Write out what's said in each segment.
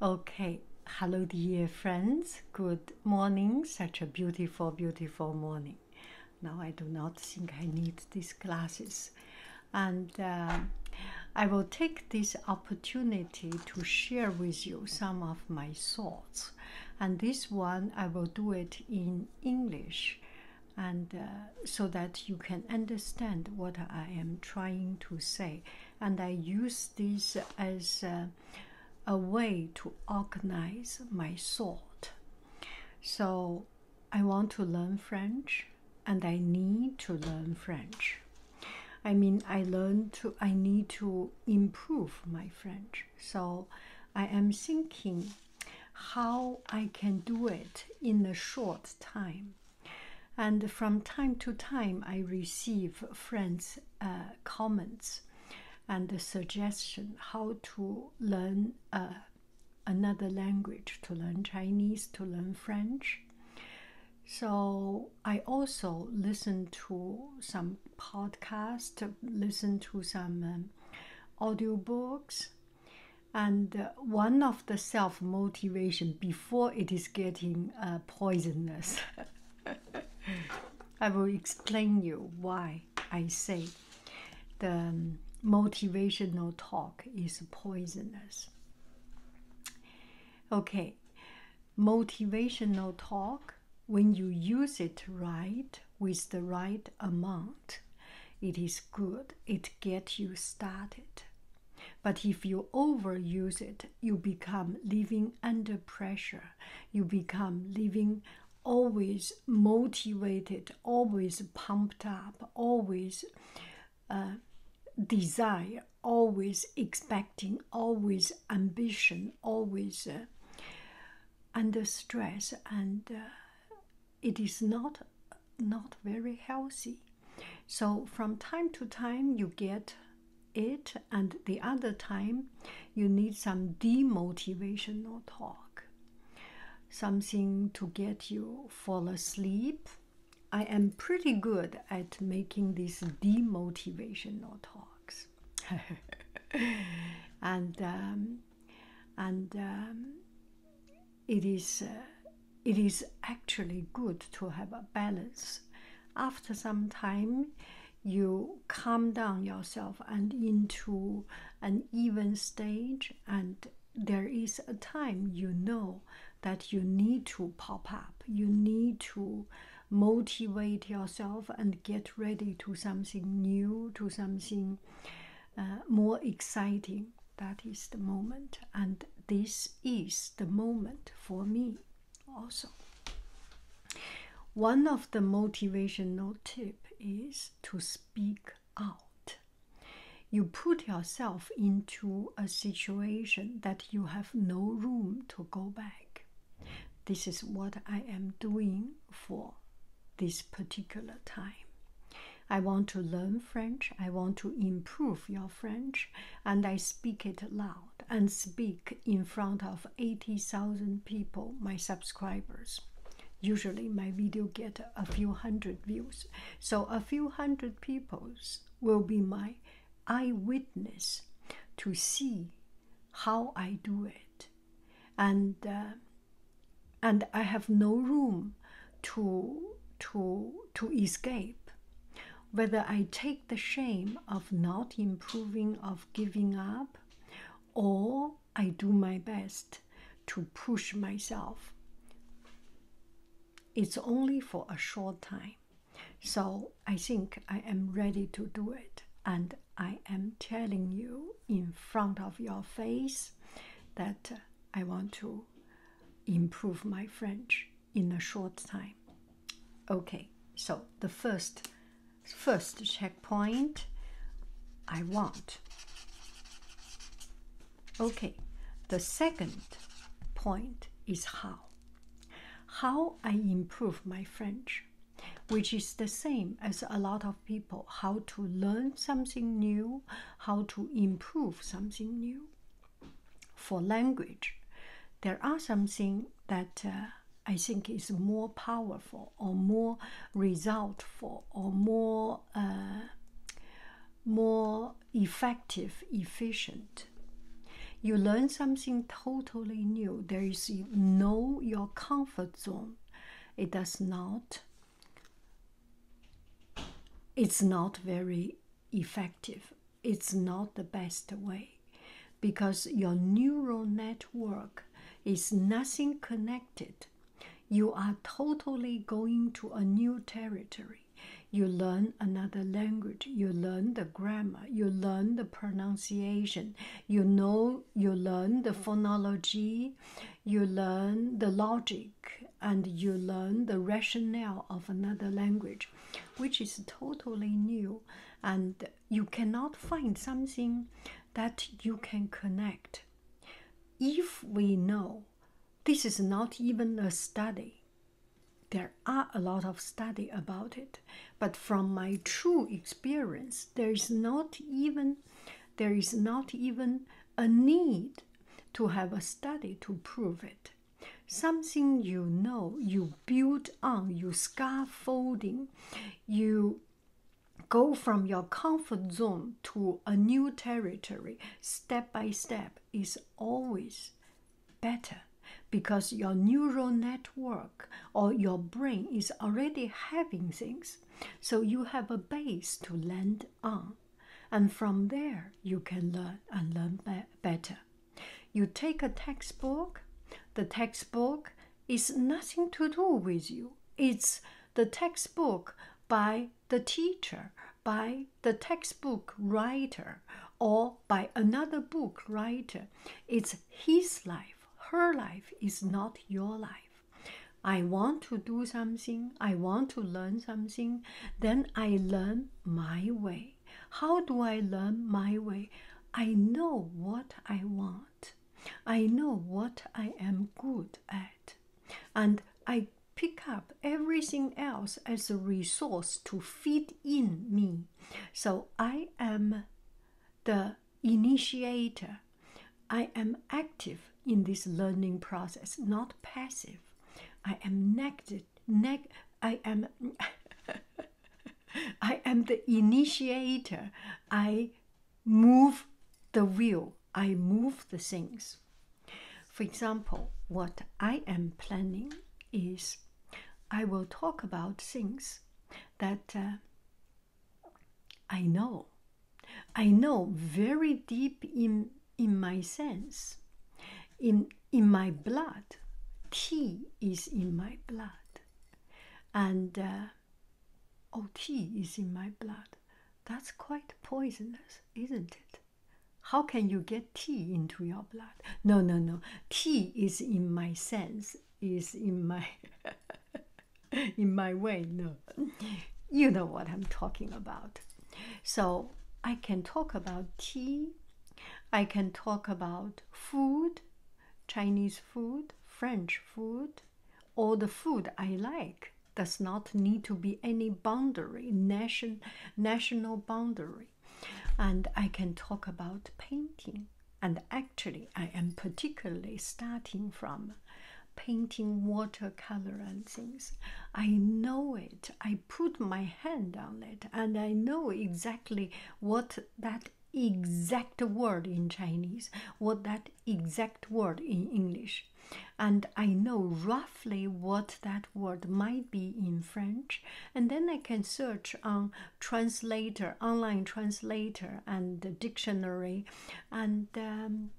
Okay, hello dear friends. Good morning. Such a beautiful, beautiful morning. Now I do not think I need these glasses. And uh, I will take this opportunity to share with you some of my thoughts. And this one I will do it in English. And uh, so that you can understand what I am trying to say. And I use this as a, way to organize my thought. So I want to learn French and I need to learn French. I mean, I learn to, I need to improve my French. So I am thinking how I can do it in a short time and from time to time i receive friends uh, comments and the suggestion how to learn uh, another language to learn chinese to learn french so i also listen to some podcasts listen to some um, audiobooks and one of the self motivation before it is getting uh, poisonous. I will explain you why I say the um, motivational talk is poisonous. Okay, motivational talk when you use it right with the right amount, it is good. It gets you started. But if you overuse it, you become living under pressure. You become living always motivated, always pumped up, always uh, desire, always expecting, always ambition, always uh, under stress. And uh, it is not not very healthy. So from time to time you get it, and the other time you need some demotivational talk, something to get you fall asleep. I am pretty good at making these demotivational talks, and um, and um, it is uh, it is actually good to have a balance. After some time, you calm down yourself and into an even stage, and there is a time you know that you need to pop up. You need to motivate yourself and get ready to something new, to something uh, more exciting that is the moment and this is the moment for me also one of the motivational tip is to speak out you put yourself into a situation that you have no room to go back this is what i am doing for this particular time I want to learn French. I want to improve your French. And I speak it loud and speak in front of 80,000 people, my subscribers. Usually my video get a few hundred views. So a few hundred people's will be my eyewitness to see how I do it. And uh, and I have no room to to to escape whether i take the shame of not improving of giving up or i do my best to push myself it's only for a short time so i think i am ready to do it and i am telling you in front of your face that i want to improve my French in a short time. Okay, so the first first checkpoint I want. Okay, the second point is how. How I improve my French, which is the same as a lot of people. How to learn something new, how to improve something new for language, there are something that uh, I think is more powerful or more resultful or more uh, more effective, efficient. You learn something totally new. There is no your comfort zone. It does not it's not very effective. It's not the best way because your neural network is nothing connected. You are totally going to a new territory. You learn another language, you learn the grammar, you learn the pronunciation, you know, you learn the phonology, you learn the logic and you learn the rationale of another language, which is totally new, and you cannot find something that you can connect. If we know this is not even a study, there are a lot of study about it, but from my true experience, there is not even there is not even a need to have a study to prove it. Something you know, you build on, you scaffolding, you go from your comfort zone to a new territory step by step is always better because your neural network or your brain is already having things so you have a base to land on and from there you can learn and learn better. You take a textbook, the textbook is nothing to do with you. It's the textbook by the teacher, by the textbook writer, or by another book writer. It's his life. Her life is not your life. I want to do something, I want to learn something, then I learn my way. How do I learn my way? I know what I want, I know what I am good at, and I pick up everything else as a resource to fit in me. So I am the initiator. I am active in this learning process, not passive. I am negative. I am. I am the initiator. I move the wheel. I move the things. For example, what I am planning is I will talk about things that uh, I know I know very deep in in my sense, in in my blood, tea is in my blood, and uh, oh, tea is in my blood. That's quite poisonous, isn't it? How can you get tea into your blood? No, no, no. Tea is in my sense, is in my in my way. No, you know what I'm talking about. So I can talk about tea, I can talk about food, Chinese food, French food, all the food I like. Does not need to be any boundary, nation, national boundary. And I can talk about painting. And actually, I am particularly starting from painting watercolor and things. I know it. I put my hand on it and I know exactly what that exact word in Chinese, what that exact word in English. And I know roughly what that word might be in French. And then I can search on translator, online translator, and dictionary and um,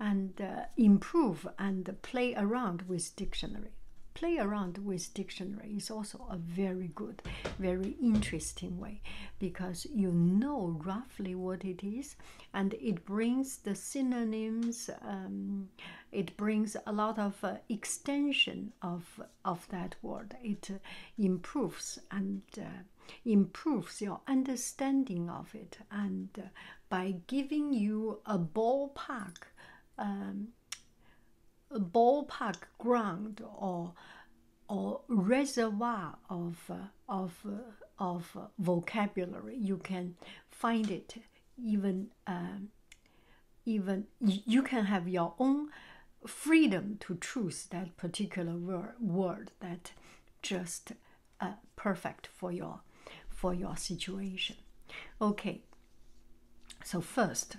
and uh, improve and play around with dictionary play around with dictionary is also a very good very interesting way because you know roughly what it is and it brings the synonyms um, it brings a lot of uh, extension of of that word it uh, improves and improves your understanding of it and by giving you a ballpark, um, a ballpark ground or or reservoir of uh, of uh, of vocabulary. You can find it even um, even you can have your own freedom to choose that particular word word that just uh, perfect for your for your situation. Okay. So first,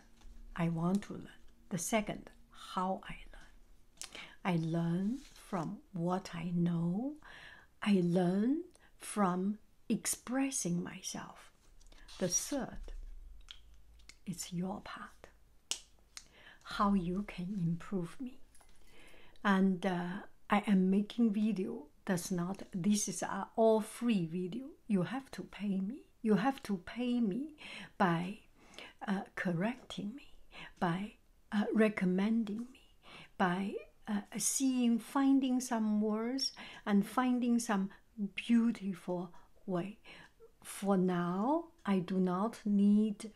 I want to learn. The second, how I learn. I learn from what I know. I learn from expressing myself. The third, it's your part. How you can improve me and uh, I am making video that's not this is a all free video you have to pay me you have to pay me by uh, correcting me by uh, recommending me by seeing finding some words and finding some beautiful way for now i do not need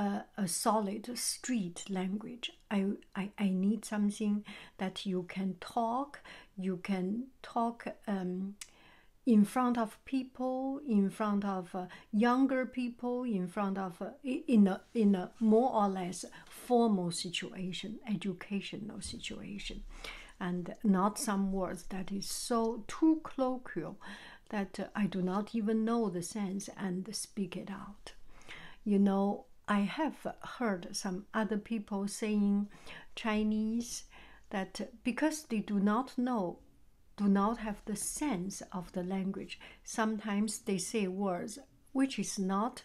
a solid street language I, I i need something that you can talk you can talk um in front of people in front of uh, younger people in front of uh, in a in a more or less formal situation educational situation and not some words that is so too colloquial that uh, i do not even know the sense and speak it out you know, I have heard some other people saying Chinese that because they do not know, do not have the sense of the language, sometimes they say words which is not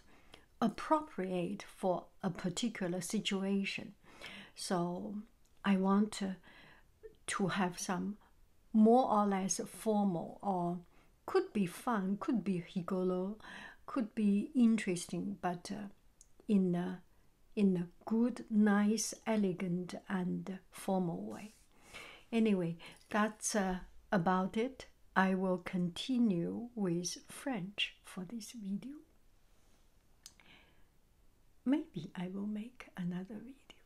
appropriate for a particular situation. So I want to have some more or less formal or could be fun, could be higolo, could be interesting, but uh, in a, in a good, nice, elegant, and formal way. Anyway, that's uh, about it. I will continue with French for this video. Maybe I will make another video.